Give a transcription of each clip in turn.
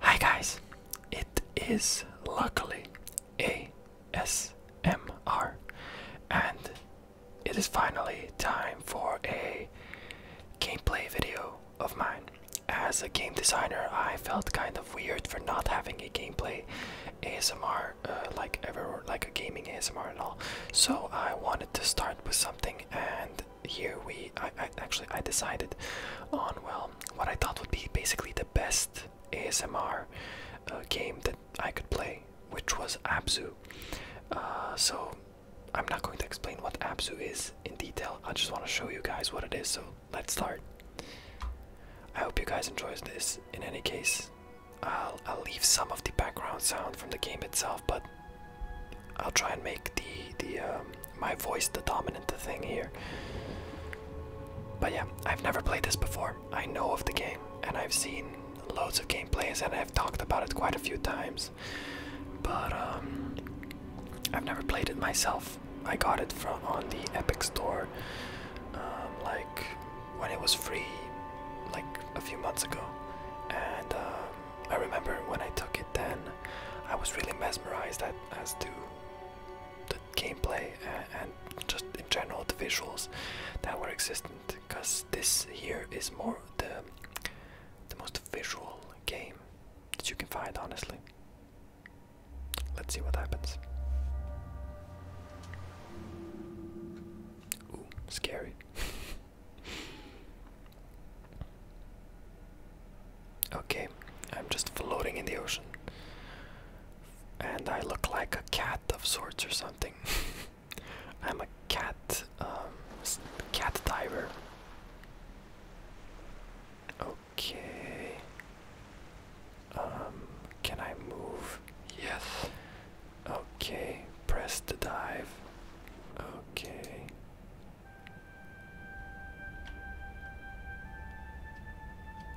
Hi guys, it is luckily ASMR and it is finally time for a gameplay video of mine. As a game designer, I felt kind of weird for not having a gameplay ASMR uh, like ever like a gaming ASMR at all. So I wanted to start with something and here we actually I decided on well what I thought would be basically the best ASMR uh, game that I could play, which was Abzu. Uh, so I'm not going to explain what Abzu is in detail. I just want to show you guys what it is. So let's start. I hope you guys enjoyed this. In any case, I'll I'll leave some of the background sound from the game itself, but I'll try and make the the um, my voice the dominant thing here. But yeah, I've never played this before. I know of the game, and I've seen loads of gameplays, and I've talked about it quite a few times. But um, I've never played it myself. I got it from on the Epic Store, um, like when it was free, like a few months ago. And I remember when I took it then, I was really mesmerized as to the gameplay and, uh, and just in general the visuals that were existent because this here is more the the most visual game that you can find honestly let's see what happens Ooh, scary Okay, I'm just floating in the ocean. And I look like a cat of sorts or something. I'm a cat, um, cat diver. Okay. Um, can I move? Yes. Okay, press the dive. Okay.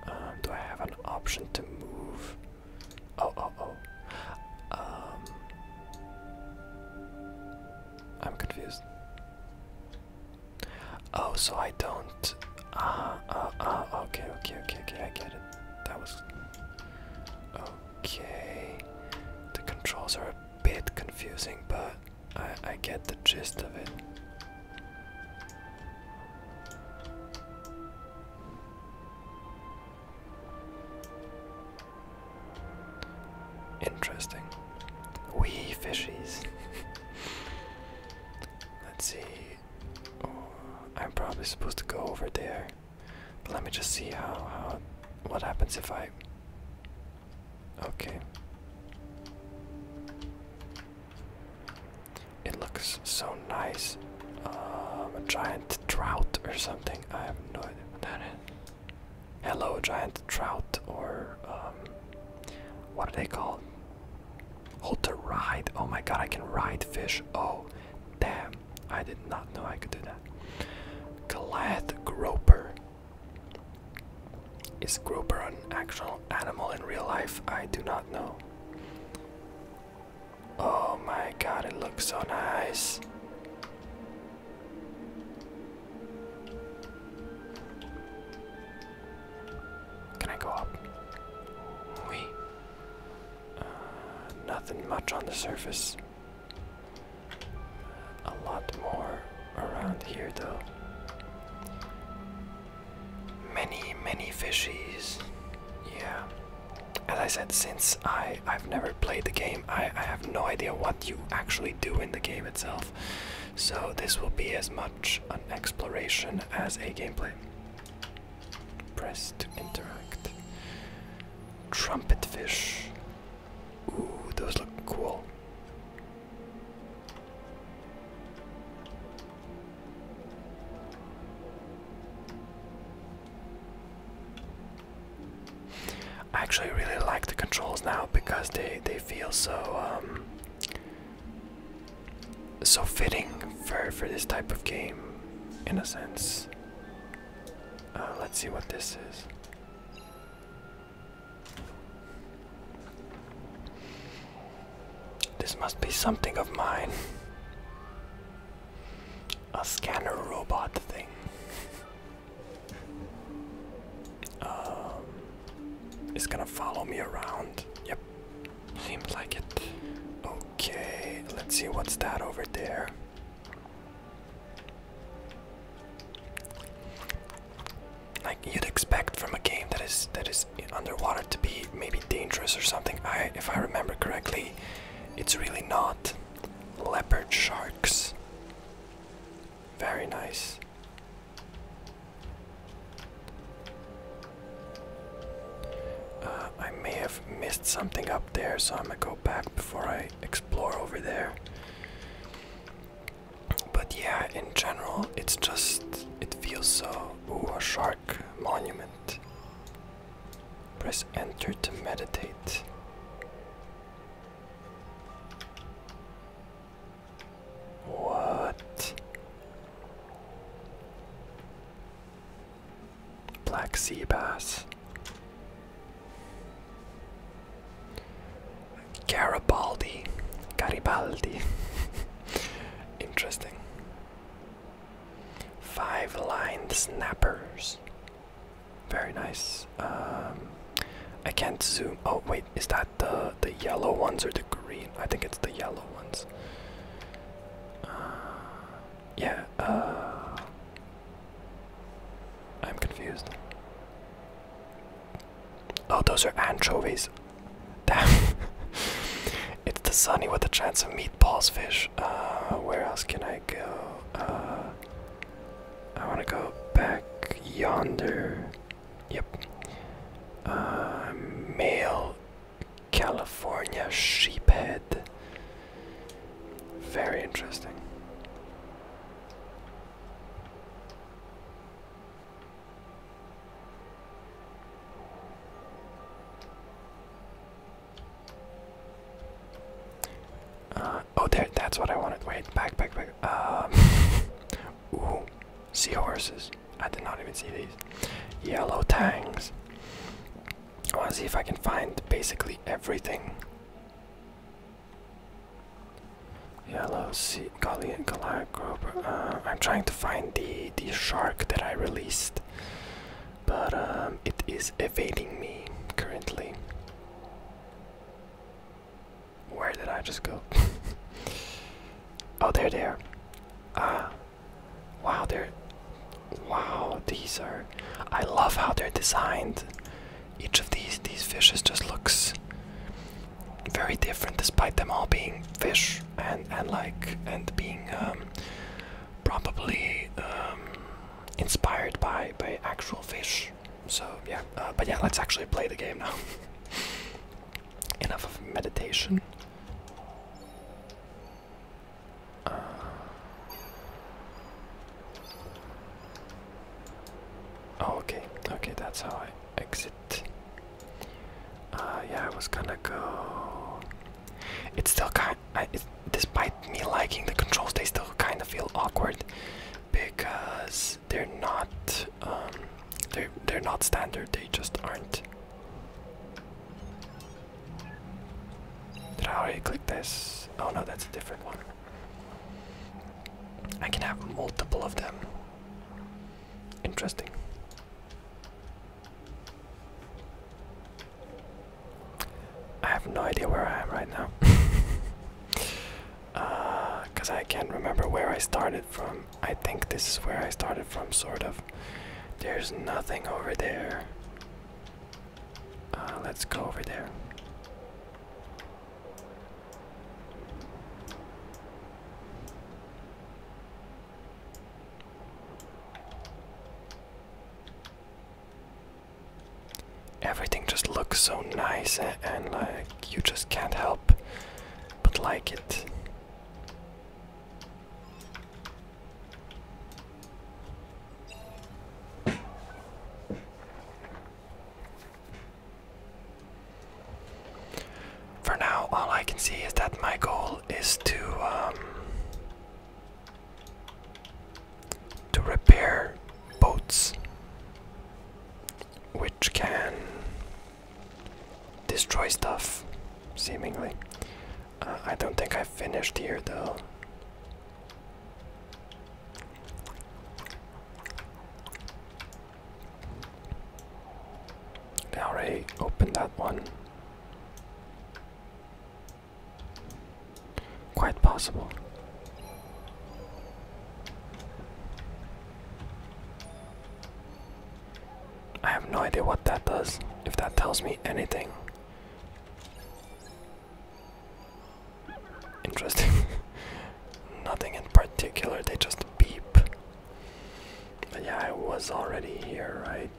Um, do I have an option to move? Oh, oh, oh. Um, I'm confused. Oh, so I don't. Ah, ah, ah. okay, okay, okay, okay. I get it. That was okay. The controls are a bit confusing, but I, get the gist of it. Interesting. Wee fishies. Let's see. Oh, I'm probably supposed to go over there. But let me just see how how what happens if I Okay. It looks so nice. Um, a giant trout or something. I have no idea what that is. Hello, giant trout, or um, what are they called? Hold to ride. Oh my god, I can ride fish. Oh, damn. I did not know I could do that. Glad Groper. Is Groper an actual animal in real life? I do not know. Oh my god, it looks so nice. Can I go up? We. Uh, nothing much on the surface. A lot more around here, though. Many, many fishes. Yeah. As I said, since I, I've never played the game, I, I have no idea what you actually do in the game itself. So this will be as much an exploration as a gameplay. Press to interact. Trumpet fish. Ooh, those look cool. I actually really like the controls now because they they feel so um, so fitting for for this type of game, in a sense. Uh, let's see what this is. This must be something of mine. A scanner robot thing. Um, it's gonna follow me around. Yep. Seems like it. Okay, let's see what's that over there like you'd expect from a game that is that is underwater to be maybe dangerous or something. I, if I remember correctly, it's really not. Leopard sharks. Very nice. Uh, I may have missed something up there, so I'm gonna go back before I explore over there. But yeah, in general, it's just it feels so. Oh, a shark monument. Press enter to meditate. What? Black sea bass. Garibaldi. Garibaldi. Interesting. Five line snappers. Very nice. Um, I can't zoom. Oh wait, is that the the yellow ones or the green? I think it's the yellow ones. Uh, yeah. Uh, I'm confused. Oh, those are anchovies. Damn. it's the sunny with a chance of meatballs fish. Uh, where else can I go? Uh, I want to go back yonder. Yep. Uh, male California sheephead. Very interesting. Uh, oh, there, that's what I wanted. Wait, back, back, back. Um, ooh, seahorses. I did not even see these. Yellow tangs. I want to see if I can find basically everything. Yellow sea Goliath Group. Uh, I'm trying to find the the shark that I released, but um, it is evading me currently. Where did I just go? oh, there they Ah, wow, they're. Wow, these are. I love how they're designed each of these these fishes just looks very different despite them all being fish and and like and being um, probably um, inspired by by actual fish so yeah uh, but yeah let's actually play the game now enough of meditation uh. oh, okay okay that's how I exit. Uh, yeah, I was gonna go. It's still kind. despite me liking the controls, they still kind of feel awkward because they're not. Um, they're they're not standard. They just aren't. Did I already click this? Oh no, that's a different one. I can have multiple of them. Interesting. I have no idea where I am right now. Because uh, I can't remember where I started from. I think this is where I started from, sort of. There's nothing over there. Uh, let's go over there. Everything just looks so nice eh, and, like you just can't help but like it. For now, all I can see is that my goal is to um, to repair boats, which can destroy stuff, seemingly. Uh, I don't think I finished here though. Now already open that one. Quite possible. I have no idea what that does, if that tells me anything. Interesting. nothing in particular, they just beep. yeah, I was already here, right?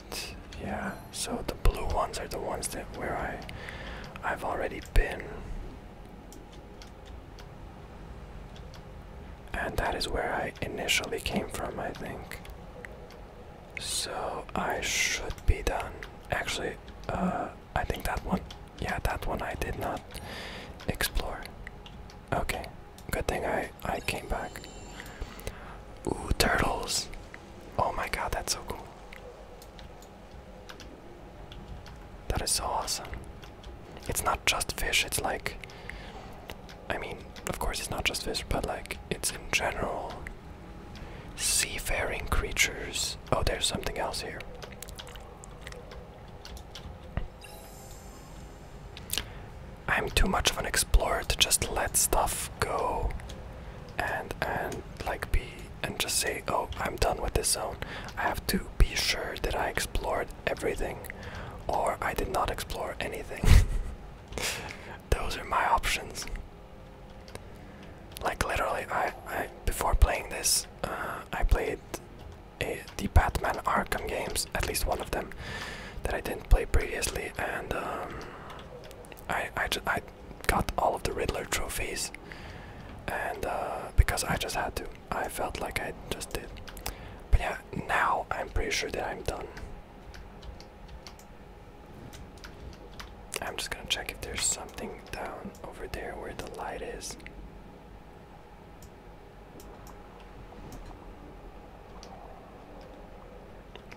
Yeah, so the blue ones are the ones that where I I've already been. And that is where I initially came from, I think. So I should be done. Actually, uh I think that one yeah, that one I did not explore. Okay, good thing I I came back. Ooh, turtles! Oh my god, that's so cool. That is so awesome. It's not just fish, it's like I mean, of course it's not just fish, but like it's in general seafaring creatures. Oh, there's something else here. I'm too much of an explorer to just let stuff go and and like be and just say, oh, I'm done with this zone. I have to be sure that I explored everything or I did not explore anything. Those are my options. Like literally I, I before playing this, uh, I played uh, the Batman Arkham games, at least one of them, that I didn't play previously, and um, I, I, I got all of the Riddler trophies, and uh, because I just had to, I felt like I just did. But yeah, now I'm pretty sure that I'm done. I'm just gonna check if there's something down over there where the light is.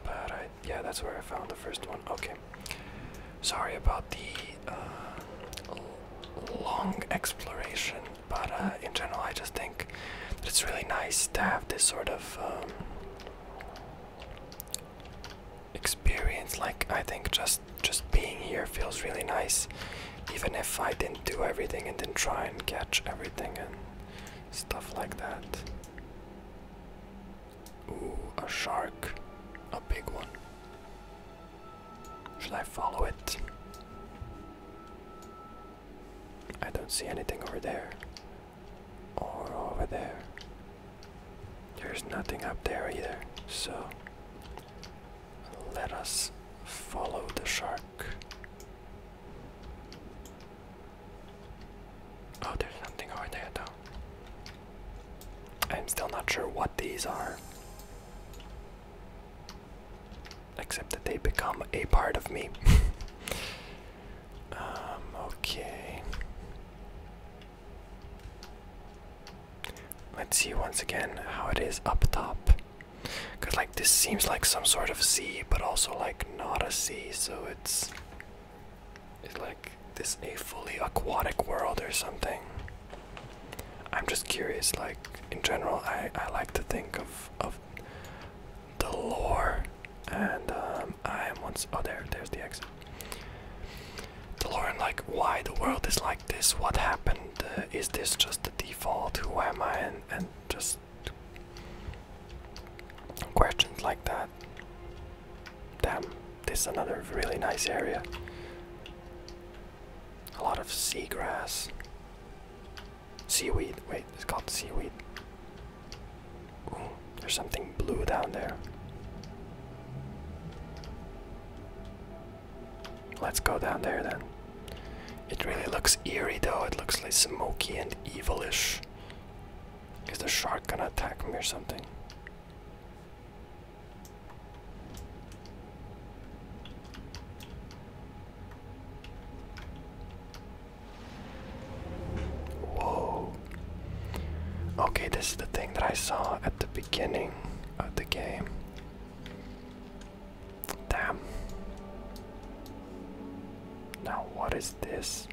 But yeah, that's where I found the first one. Okay. Sorry about the uh, long exploration, but uh, in general, I just think that it's really nice to have this sort of um, experience. Like, I think just just being here feels really nice, even if I didn't do everything and didn't try and catch everything and stuff like that. Ooh, a shark, a big one. Should I follow it? I don't see anything over there. Or over there. There's nothing up there either, so let us follow the shark. Oh, there's something over there, though. I'm still not sure what these are. Except that they become a part of me. um, okay. Let's see once again how it is up top. Because, like, this seems like some sort of sea, but also, like, not a sea, so it's. It's like this a fully aquatic world or something. I'm just curious, like, in general, I, I like to think of, of the lore, and um, I am once. Oh, there, there's the exit. The lore and, like, why the world is like this? What happened? Uh, is this just the default? Who am I? And, just questions like that. Damn, this is another really nice area. A lot of seagrass. Seaweed. Wait, it's called seaweed. Ooh, there's something blue down there. Let's go down there then. It really looks eerie though, it looks like smoky and evilish. Is the shark gonna attack me or something? Whoa. Okay, this is the thing that I saw at the beginning of the game. Damn. Now, what is this?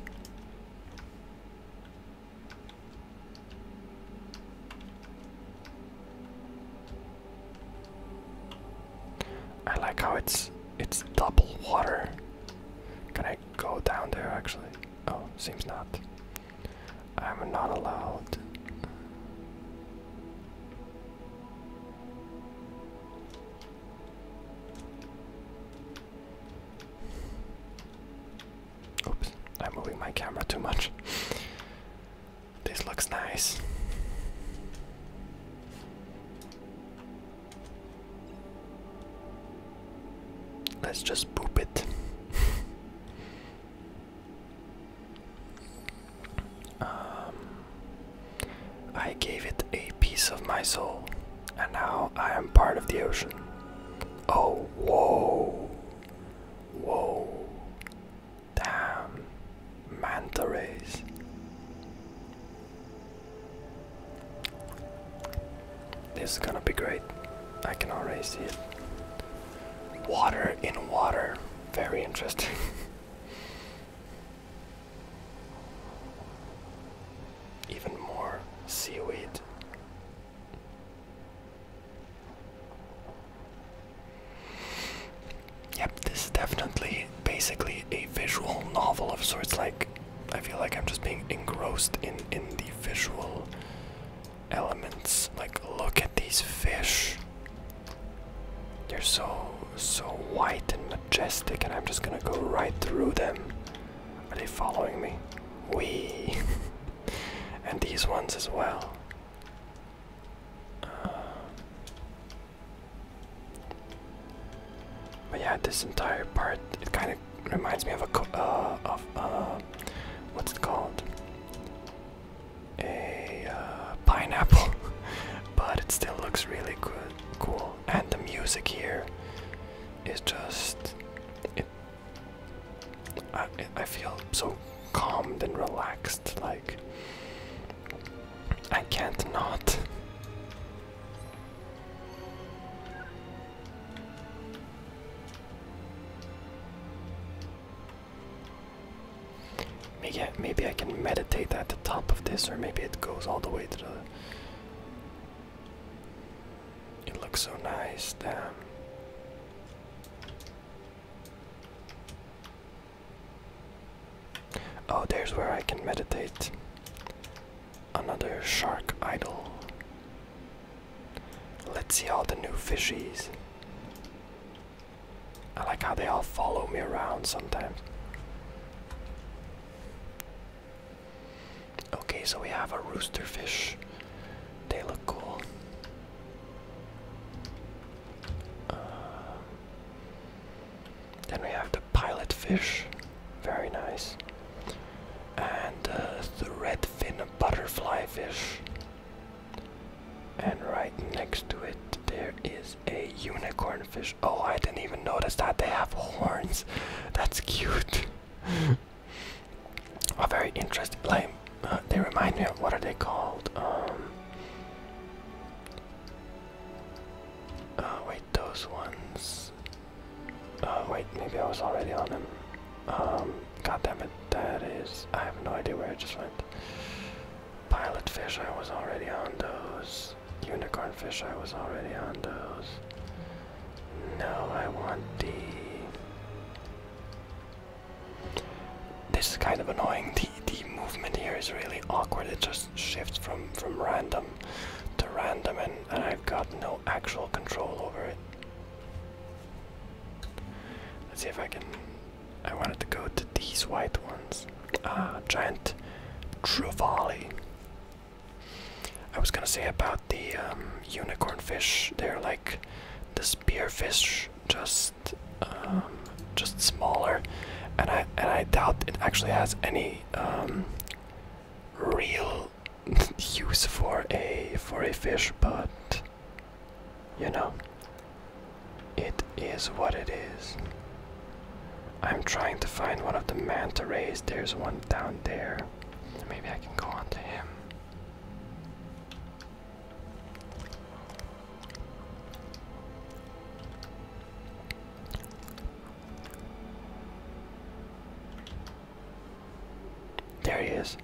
I like how it's it's double water. Can I go down there actually? Oh, seems not. I'm not allowed. Oops, I'm moving my camera too much. this looks nice. Let's just poop it. Um, I gave it a piece of my soul, and now I am part of the ocean. Oh, whoa! Whoa! Damn! Manta rays. This is gonna be great. I can already see it. Water in water. Very interesting. Even more seaweed. Yep, this is definitely basically a visual novel of sorts. Like, I feel like I'm just being engrossed in in the visual elements. Like, look at these fish. They're so so white and majestic, and I'm just gonna go right through them. Are they following me? We and these ones as well. Uh, but yeah, this entire part it kind of reminds me of a uh, of uh, what's it called? a uh, pineapple, but it still looks really good, cool. And the music here is just. it, I feel so calmed and relaxed, like. I can't not. Maybe I, maybe I can meditate at the top of this, or maybe it goes all the way to the. It looks so nice, damn. Oh, there's where I can meditate. Another shark idol. Let's see all the new fishies. I like how they all follow me around sometimes. Okay, so we have a rooster fish. They look cool. Uh, then we have the pilot fish. Very nice. And uh, the redfin butterfly fish. And right next to it, there is a unicornfish. Oh, I didn't even notice that they have horns. That's cute. A very interesting. Like, uh, they remind me of what are they called? Um. Uh, wait, those ones. Uh, wait, maybe I was already on them. Um, God damn it, that is. I have no idea where I just went. Pilot fish, I was already on those. Unicorn fish, I was already on those. No, I want the. This is kind of annoying. The the movement here is really awkward. It just shifts from from random to random, and, and I've got no actual control over it. Let's see if I can I wanted to go to these white ones. Ah, giant trevally. I was gonna say about the um, unicorn fish. They're like the spearfish, just um, just smaller, and I and I doubt it actually has any um, real use for a for a fish, but you know, it is what it is. I'm trying to find one of the manta rays. There's one down there. Maybe I can go on to him. There he is.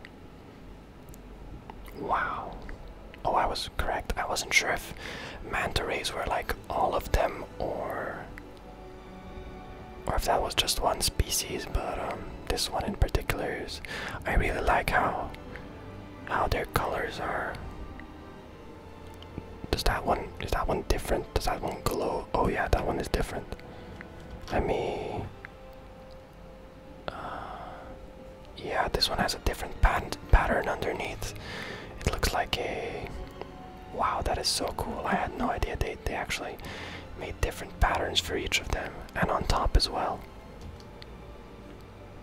Wow. Oh, I was correct. I wasn't sure if manta rays were like all of them or or if that was just one species, but um this one in particular is I really like how how their colors are. Does that one is that one different? Does that one glow? Oh yeah, that one is different. Let me uh, yeah, this one has a different pattern underneath. It looks like a. Wow, that is so cool. I had no idea they, they actually made different patterns for each of them, and on top as well.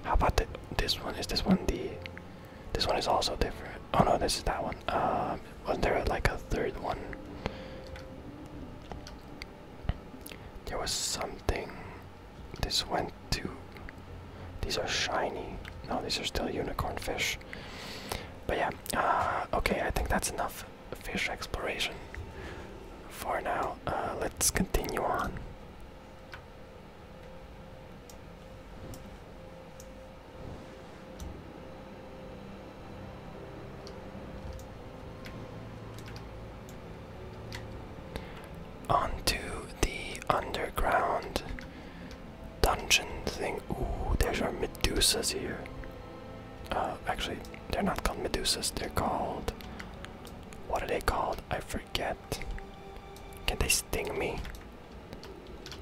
How about this one? Is this one the. This one is also different. Oh no, this is that one. Um, was there like a third one? There was something. This went too. These are shiny. No, these are still unicorn fish. But yeah, uh, okay, I think that's enough fish exploration for now. Uh, let's continue on onto the underground dungeon thing. Ooh, there's our Medusas here. Uh, actually, they're not called Medusas, they're called. What are they called? I forget. Can they sting me?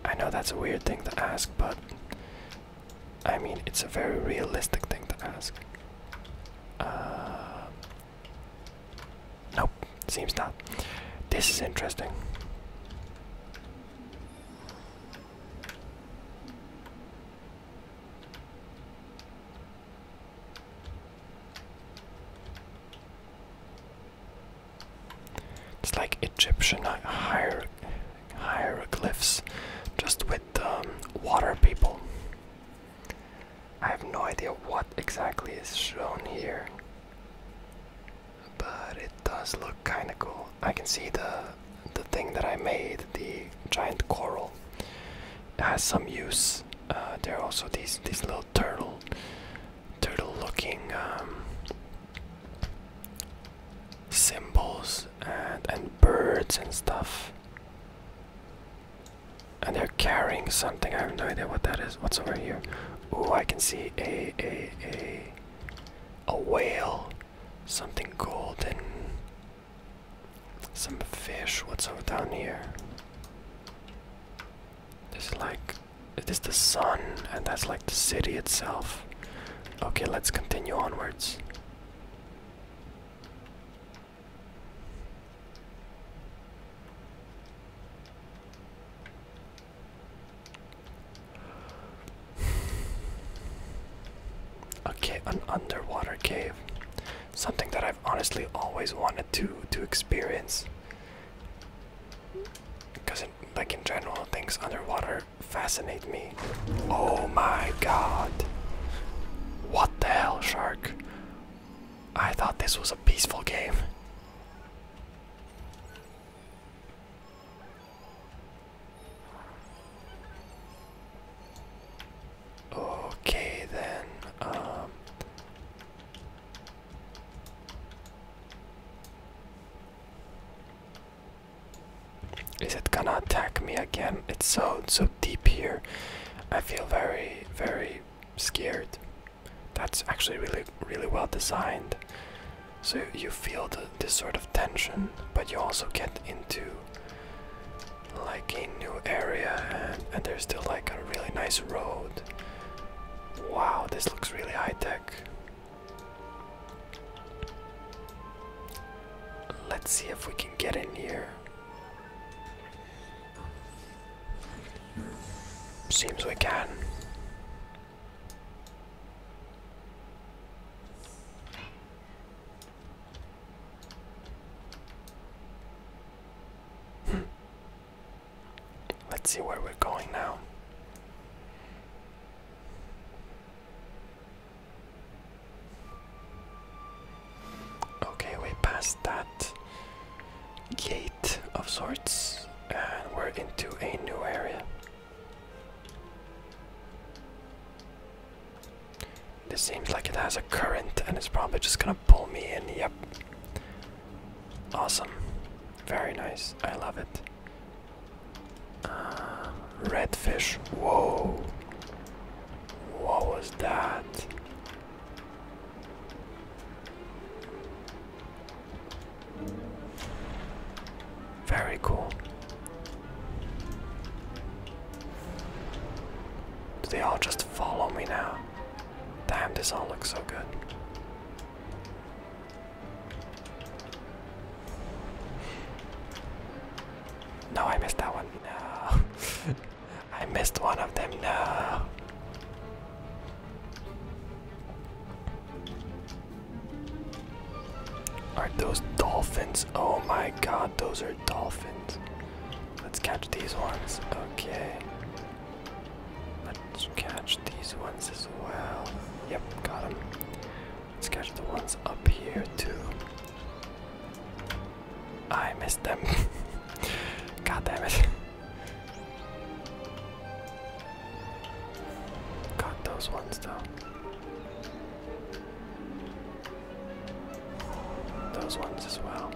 I know that's a weird thing to ask, but. I mean, it's a very realistic thing to ask. Uh, Nope, seems not. This is interesting. It's like Egyptian hier hieroglyphs, just with um, water people. I have no idea what exactly is shown here, but it does look kind of cool. I can see the the thing that I made, the giant coral, it has some use. Uh, there are also these these little turtle, turtle-looking um, symbols and and birds and stuff. And they're carrying something. I have no idea what that is. What's over here? Ooh, I can see a a a a whale. Something golden. Some fish. What's over down here? This is like it is the sun, and that's like the city itself. Okay, let's continue onwards. Okay, an underwater cave. Something that I've honestly always wanted to to experience. Because, like in general, things underwater fascinate me. Oh my god! What the hell, shark? I thought this was a peaceful game. Okay, then. Um, is it gonna attack me again? It's so so deep here. I feel very very scared. That's actually really, really well designed. So you feel this sort of tension, but you also get into like a new area, and there's still like a really nice road. Wow, this looks really high tech. Let's see if we can get in here. Seems we can. Let's see where we're going now. Okay, we passed that gate of sorts, and we're into a new area. This seems like it has a current and it's probably just gonna pull me in. Yep. Awesome. Very nice. I love it. Uh, redfish. Whoa. What was that? Very cool. Do they all just follow me now? Damn, this all looks so good. No, I missed that one. No. I missed one of them, no. Are those dolphins? Oh my god, those are dolphins. Let's catch these ones. Okay. Let's catch these ones as well. Yep, got them. Let's catch the ones up here too. I missed them. God damn it. Got those ones though. Those ones as well.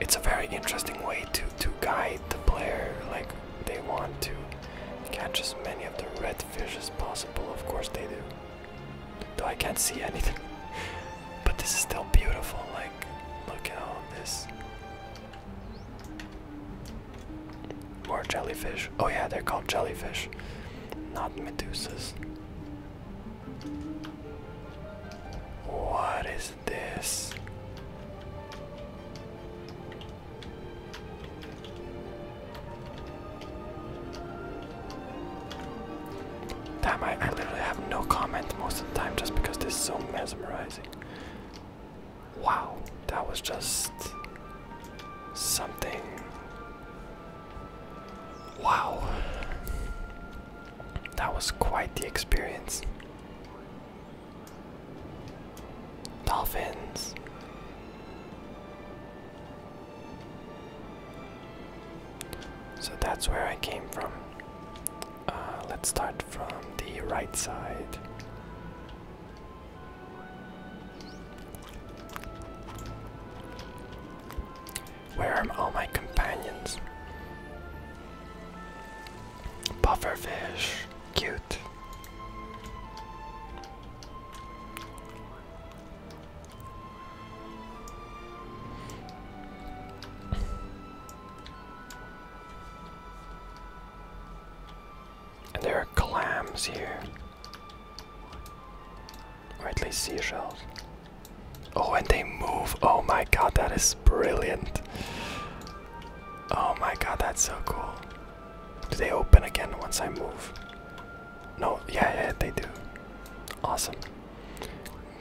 It's a very interesting way to to guide the player. Like they want to catch as many of the red fish as possible. Of course they do. Though I can't see anything. but this is still beautiful. Like look at all this more jellyfish. Oh yeah, they're called jellyfish, not medusas. What is this? Damn, I, I literally have no comment most of the time just because this is so mesmerizing. Wow, that was just something. Wow, that was quite the experience. Dolphins. So that's where I came from. Uh, let's start from the right side. Where are all my companions? Pufferfish, cute. And there are clams here. Or at least seashells. Oh, and they move. Oh my god, that is brilliant. Oh my god, that's so cool. Do they open again once I move? No, yeah, yeah, they do. Awesome.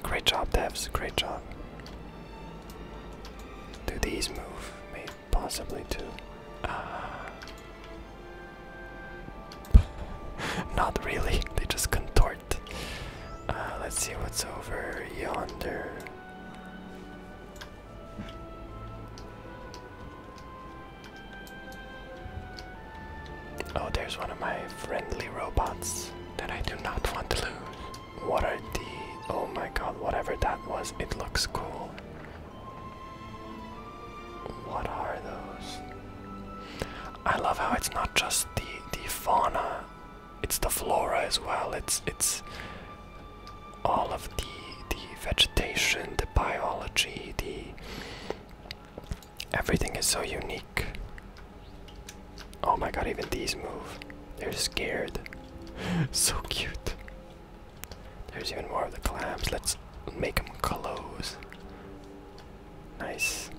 Great job, devs. Great job. Do these move? possibly too. Uh, not really. They just contort. Uh, let's see what's over yonder. Oh, there's one of my friendly robots that I do not want to lose. What are the. Oh my god, whatever that was, it looks cool. What are those? I love how it's not just the the fauna, it's the flora as well. It's it's all of the the vegetation, the biology, the everything is so unique. Oh my god, even these move. They're scared. so cute. There's even more of the clams. Let's make them close. Nice.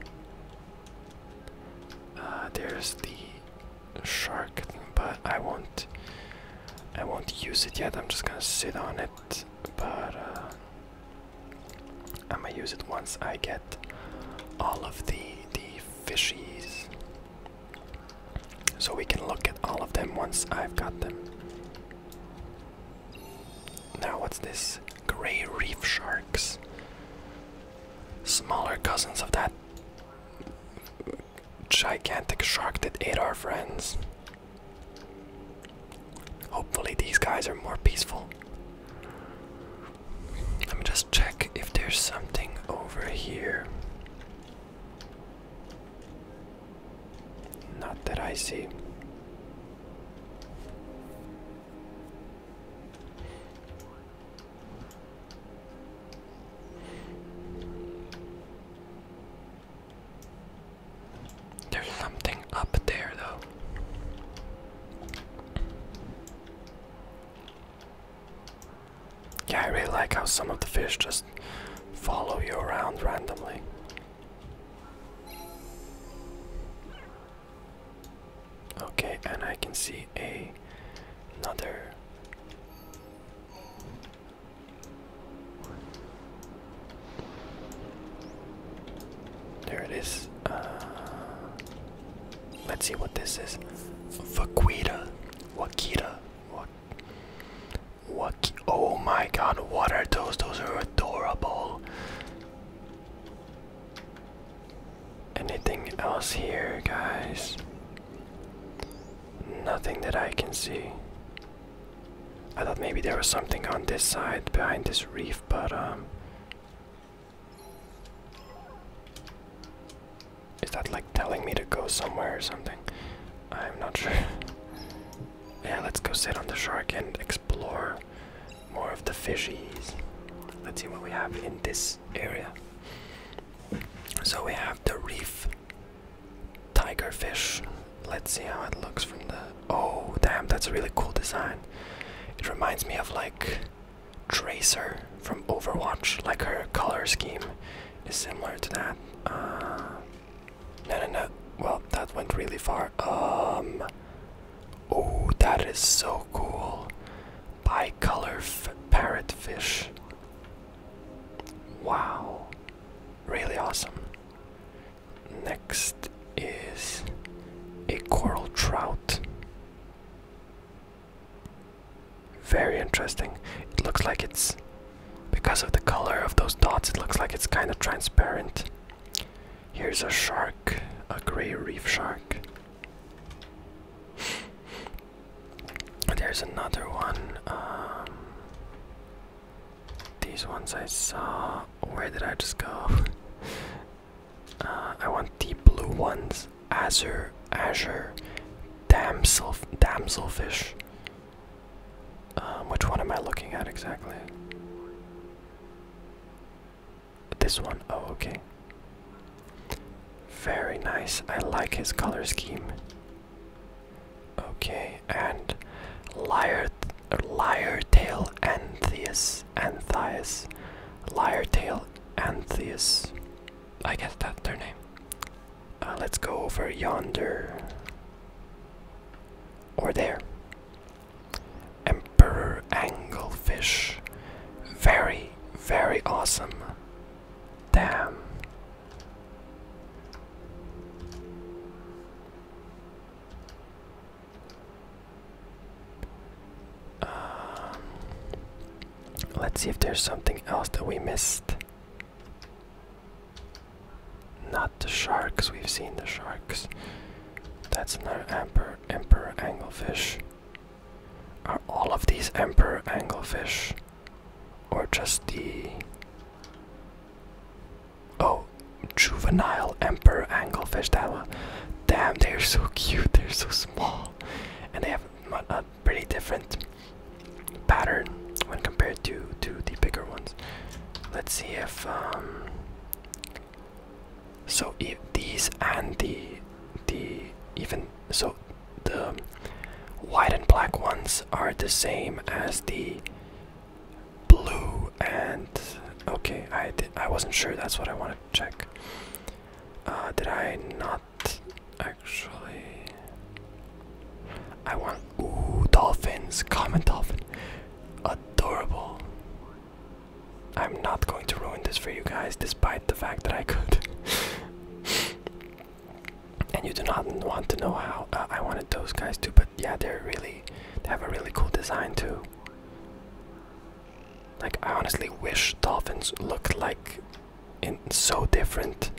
Uh, there's the shark, but I won't. I won't use it yet. I'm just gonna sit on it. But uh, I'm gonna use it once I get all of the the fishies. So we can look at all of them once I've got them. Now, what's this? Gray reef sharks. Smaller cousins of that gigantic shark that ate our friends. Hopefully, these guys are more peaceful. Let me just check if there's something over here. Not that I see. There's something up there, though. Yeah, I really like how some of the fish just follow you around randomly. Okay, and I can see a another there it is. Uh, Let's see what this is. Vaquita. Wakita. what? Waki oh my god, what are those? Those are adorable. Anything else here, guys? Nothing that I can see. I thought maybe there was something on this side behind this reef, but um is that like telling me to go somewhere or something? I'm not sure. yeah, let's go sit on the shark and explore more of the fishies. Let's see what we have in this area. So we have the reef tigerfish. Let's see how it looks from the. Oh, damn, that's a really cool design. It reminds me of like Tracer from Overwatch, like her color scheme is similar to that. Uh, no, no, no. Well, that went really far. Um. Oh, that is so cool. Bi-color parrotfish. Wow. Really awesome. Next is a coral trout. Very interesting. It looks like it's because of the color of those dots, it looks like it's kind of transparent. Here's a shark, a gray reef shark. There's another one. Um, these ones I saw. Where did I just go? Uh, I want the blue ones azure, azure, damsel, damselfish. Um, which one am I looking at exactly? This one. Oh, okay. Very nice. I like his color scheme. Okay, and liar, liar tail Antheus, Anthias, liar tail Antheus. I guess that's their name. Uh, let's go over yonder. Or there. Emperor Anglefish. Very, very awesome. Damn. Um, Let's see if there's something else that we missed. Not the sharks, we've seen the sharks. That's another emperor, emperor anglefish. Are all of these emperor angelfish, Or just the. Oh, juvenile emperor angelfish? Damn, they're so cute, they're so small. And they have uh, pretty different pattern when compared to to the bigger ones. Let's see if um, so if these and the the even so the white and black ones are the same as the blue and okay I I wasn't sure that's what I wanted to check. Uh, did I not actually. I want ooh dolphins, common dolphin, adorable. I'm not going to ruin this for you guys, despite the fact that I could. and you do not want to know how uh, I wanted those guys too, but yeah, they're really they have a really cool design too. Like I honestly wish dolphins looked like and so different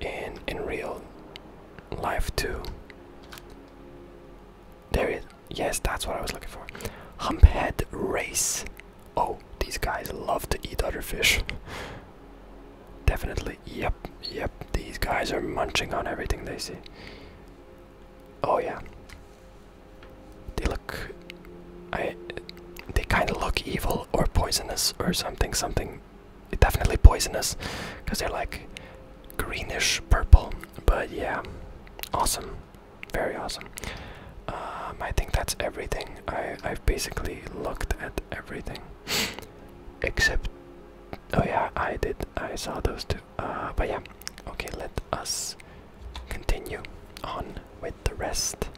in in real life too. There is Yes, that's what I was looking for. Humphead race. Oh, these guys love to eat other fish. Definitely. Yep, yep. These guys are munching on everything they see. Oh yeah. They look, I, they kind of look evil or poisonous or something. Something, definitely poisonous, because they're like greenish purple. But yeah, awesome, very awesome. Um, I think that's everything. I i basically looked at everything, except. Oh yeah, I did. I saw those two. Uh, but yeah, okay. Let us continue on with the rest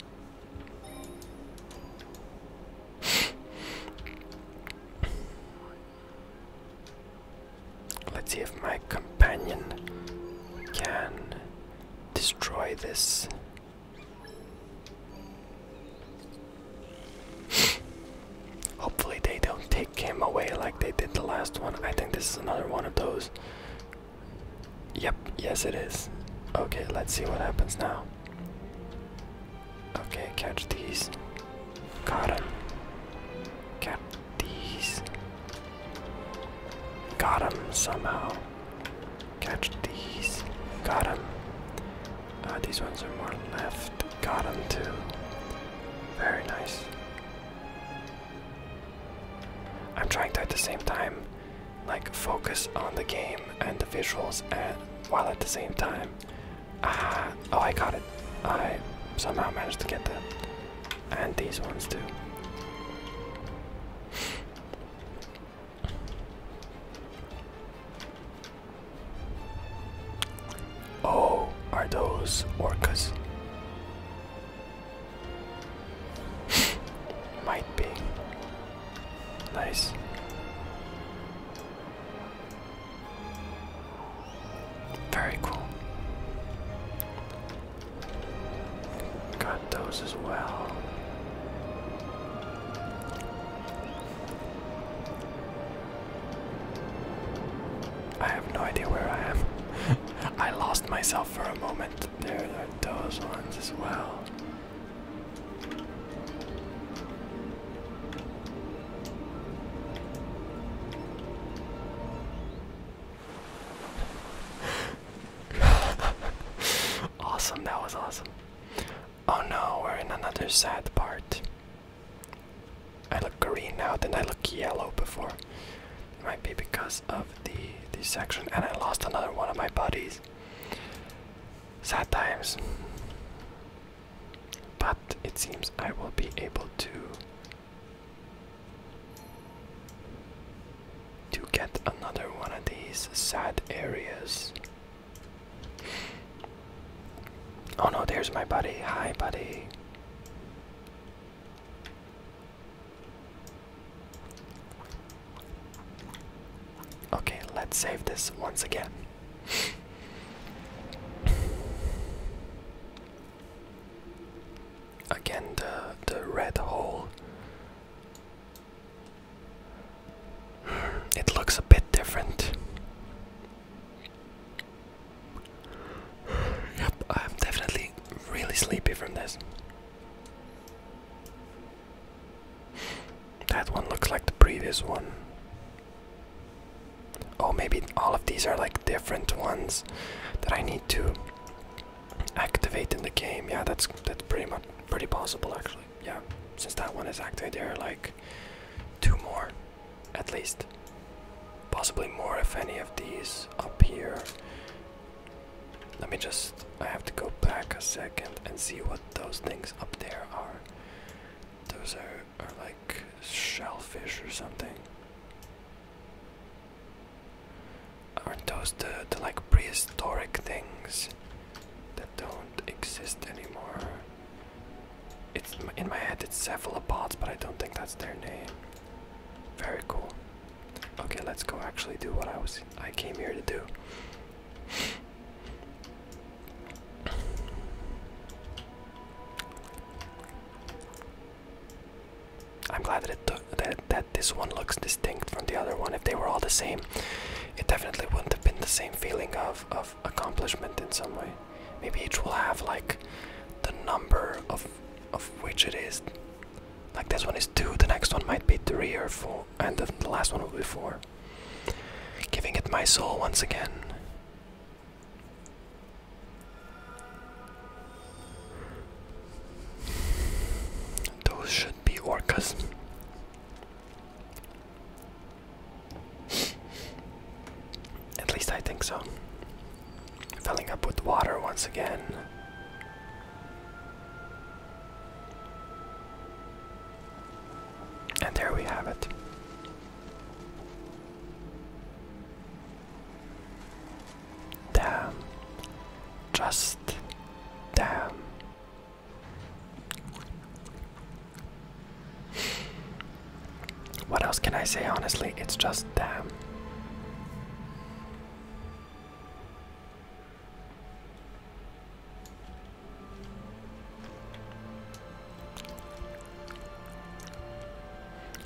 Let's see if my companion can destroy this. Hopefully, they don't take him away like they did the last one. I think this is another one of those Yep, yes it is. Okay, let's see what happens now. Okay, catch these. Got him. Catch these. Got him somehow. Catch these. Got him. Uh, these ones are more left. Got him too. Very nice. I'm trying to at the same time like focus on the game and the visuals and while at the same time ah oh I got it I somehow managed to get that and these ones too Oh, are those orcas? Might be. Nice. Very cool. Got those as well. I have no idea where I am. I lost myself for a moment. There are those ones as well. awesome, that was awesome. Oh no, we're in another sad part. I look green now, then I look yellow before. It might be because of the the section, and I lost another one of my buddies. Sad times. But it seems I will be able to to get another one of these sad areas. Oh no, there's my buddy. Hi, buddy. Okay, let's save this once again. again, the the red hole. It looks a bit different. Yep, I'm definitely really sleepy from this. That one looks like the previous one. Oh, maybe all of these are like different ones that I need to activate in the game. Yeah, that's that's pretty much pretty possible actually. Yeah, since that one is activated, there are like two more, at least, possibly more if any of these appear. Let me just. I have to go back a second and see what those things up there are. Those are, are like shellfish or something. Aren't those the, the like prehistoric things that don't exist anymore? It's in my head. It's cephalopods, but I don't think that's their name. Very cool. Okay, let's go actually do what I was I came here to do. I'm glad that it took that that this one looks distinct from the other one. If they were all the same, it definitely wouldn't have been the same feeling of of accomplishment in some way. Maybe each will have like the number of of which it is. Like this one is two, the next one might be three or four and then the last one will be 4. Giving it my soul once again. Those should be orcas. At least I think so. Filling up with water once again. And there we have it. Damn. Just damn. What else can I say honestly? It's just damn.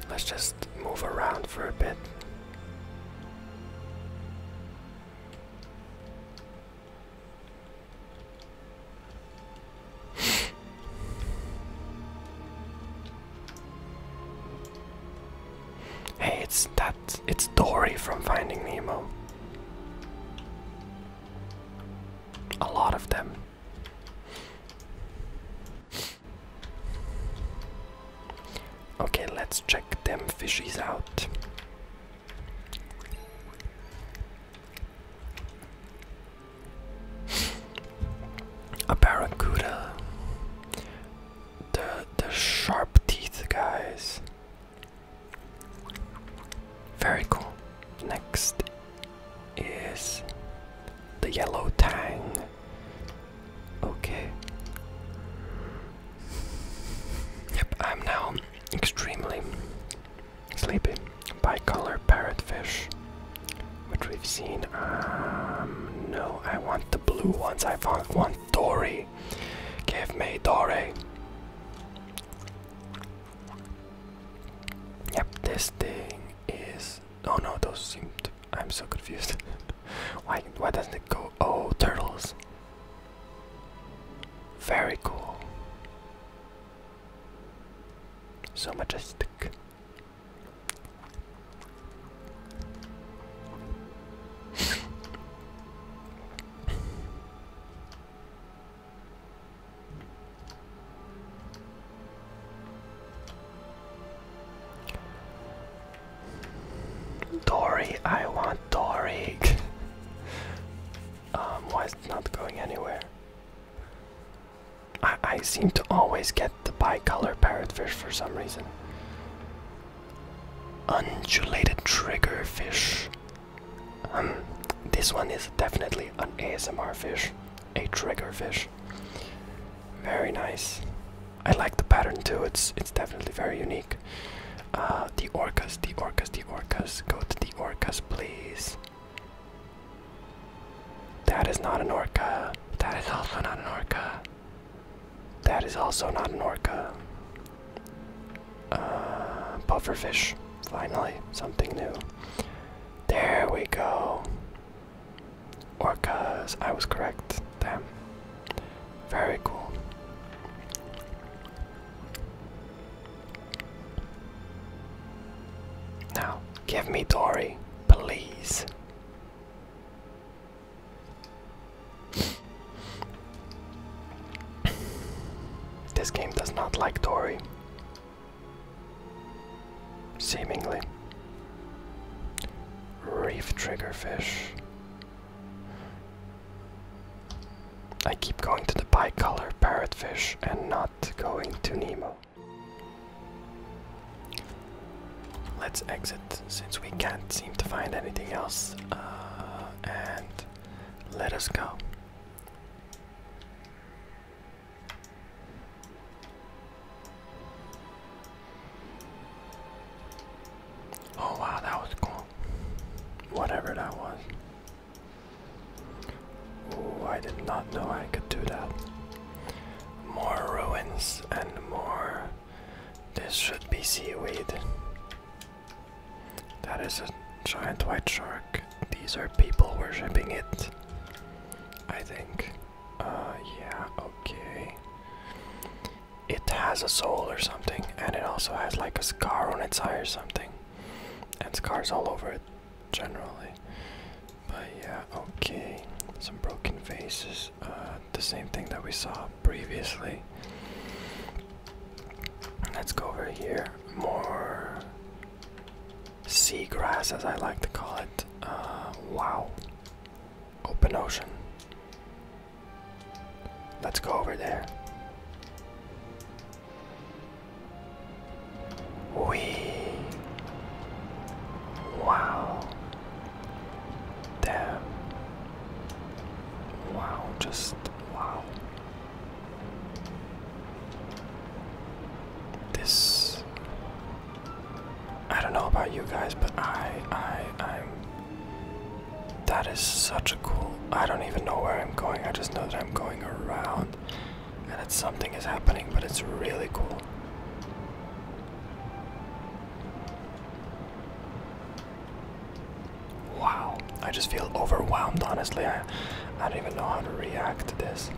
Let's just move around for a bit. Hey, it's that it's Dory from Finding Nemo. A lot of them. Okay, let's check them fishies out. A barracuda. The the sharp teeth guys. Very cool. Next is the yellow tang. Okay. Yep, I'm now extremely sleepy. Bicolor parrotfish, which we've seen. Um, no, I want the blue ones. I want Dory. Give me Dory. Yep, this thing is. Oh no, those seem. I'm so confused. why? Why doesn't it go? Oh, turtles. Very cool. So majestic. Dory, I want Dory. um, why not going anywhere? I I seem to always get the bi-color parrotfish for some reason. Undulated triggerfish. Um, this one is definitely an ASMR fish, a triggerfish. Very nice. I like the pattern too. It's it's definitely very unique. Uh, the orcas, the orcas, the orcas. Go to the orcas, please. That is not an orca. That is also not an orca. That is also not an orca. Uh, pufferfish. Finally, something new. There we go. Orcas. I was correct. Damn. Very cool. Now, give me Dory, please. This game does not like Tori. Seemingly. Reef triggerfish. I keep going to the bicolor parrotfish and not going to Nemo. Let's exit since we can't seem to find anything else. Uh, and let us go. Oh wow, that was cool. Whatever that was. Oh, I did not know I could do that. More ruins and more. This should be seaweed. That is a giant white shark. These are people worshipping it. I think. Uh, yeah, okay. It has a soul or something, and it also has like a scar on its eye or something. And scars all over it, generally. But yeah, okay. Some broken faces. Uh, the same thing that we saw previously. Let's go over here. More seagrass, as I like to call it. Uh, wow. Open ocean. Let's go over there. We. Wow. Damn. Wow, just wow. This I don't know about you guys, but I I I'm that is such a cool I don't even know where I'm going. I just know that I'm going around and that something is happening, but it's really cool. Wow, I just feel overwhelmed, honestly. I, I don't even know how to react to this.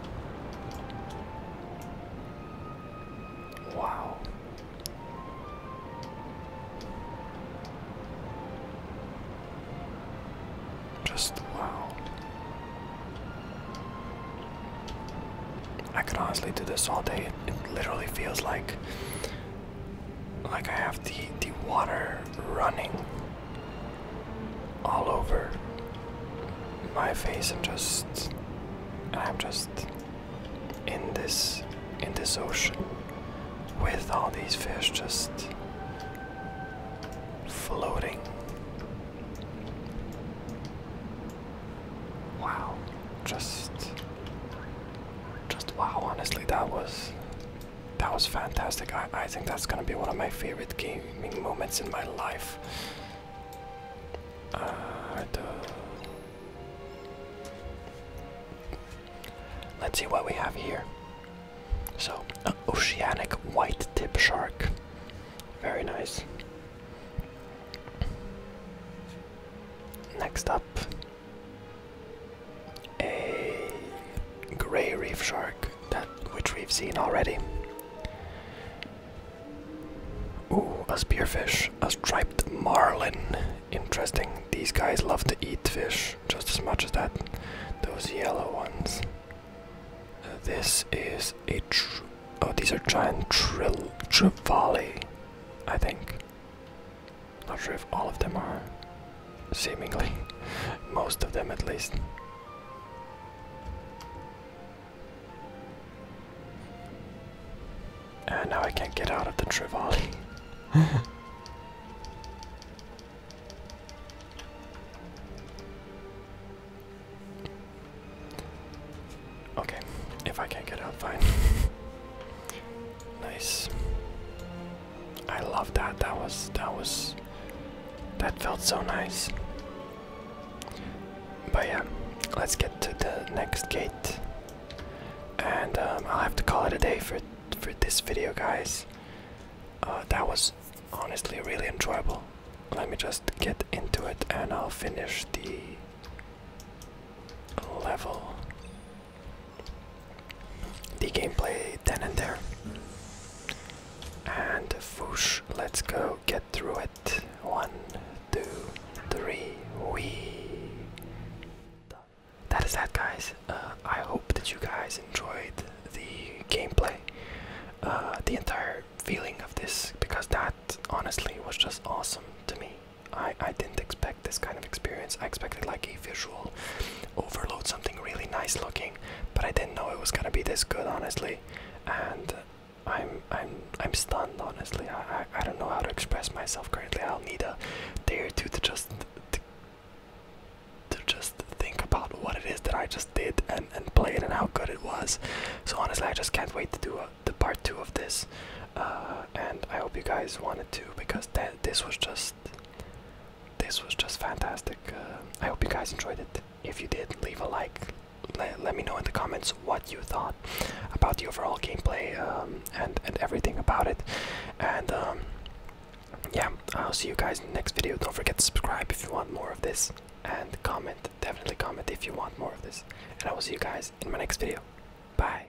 Wow. Just wow. I could honestly do this all day. It, it literally feels like like I have the the water running all over my face and just I'm just in this in this ocean with all these fish just floating. Wow, just just wow, honestly, that was that was fantastic. I, I think that's gonna be one of my favorite gaming moments in my life. Uh, Let's see what we have here. So, an oceanic white tip shark. Very nice. Next up, a gray reef shark that which we've seen already. Ooh, a spearfish, a striped marlin. Interesting. These guys love to eat fish just as much as that those yellow ones. this is a oh these are giant tril. trevally, I think. Not sure if all of them are. Seemingly. Most of them at least. And now I can't get out of the Trivoli. okay, if I can't get out, fine. Nice. I love that. That was that was that felt so nice. But yeah, let's get to the next gate, and um, I'll have to call it a day for for this video, guys. Uh, that was honestly really enjoyable. Let me just get into it, and I'll finish the level the gameplay then and there. And foosh, let's go get through it. One, two, three, we. That is that, guys. Uh, I hope that you guys enjoyed the gameplay, uh, the entire feeling of this, because that honestly was just awesome to me. I, I didn't expect this kind of experience. I expected like a visual overload, something really nice looking, but I didn't know it was gonna be this good, honestly. And I'm I'm I'm stunned, honestly. I I, I don't know how to express myself currently. I'll need a day or two to just to, to just think about what it is that I just did and and play it and how good it was. So honestly, I just can't wait to do uh, the part two of this. Uh, and I hope you guys wanted to because this was just this was just fantastic. Uh, I hope you guys enjoyed it. If you did, leave a like. Le let me know in the comments what you thought about the overall gameplay um, and and everything about it. And um, yeah, I'll see you guys in the next video. Don't forget to subscribe if you want more of this, and comment. Definitely comment if you want more of this. And I will see you guys in my next video. Bye.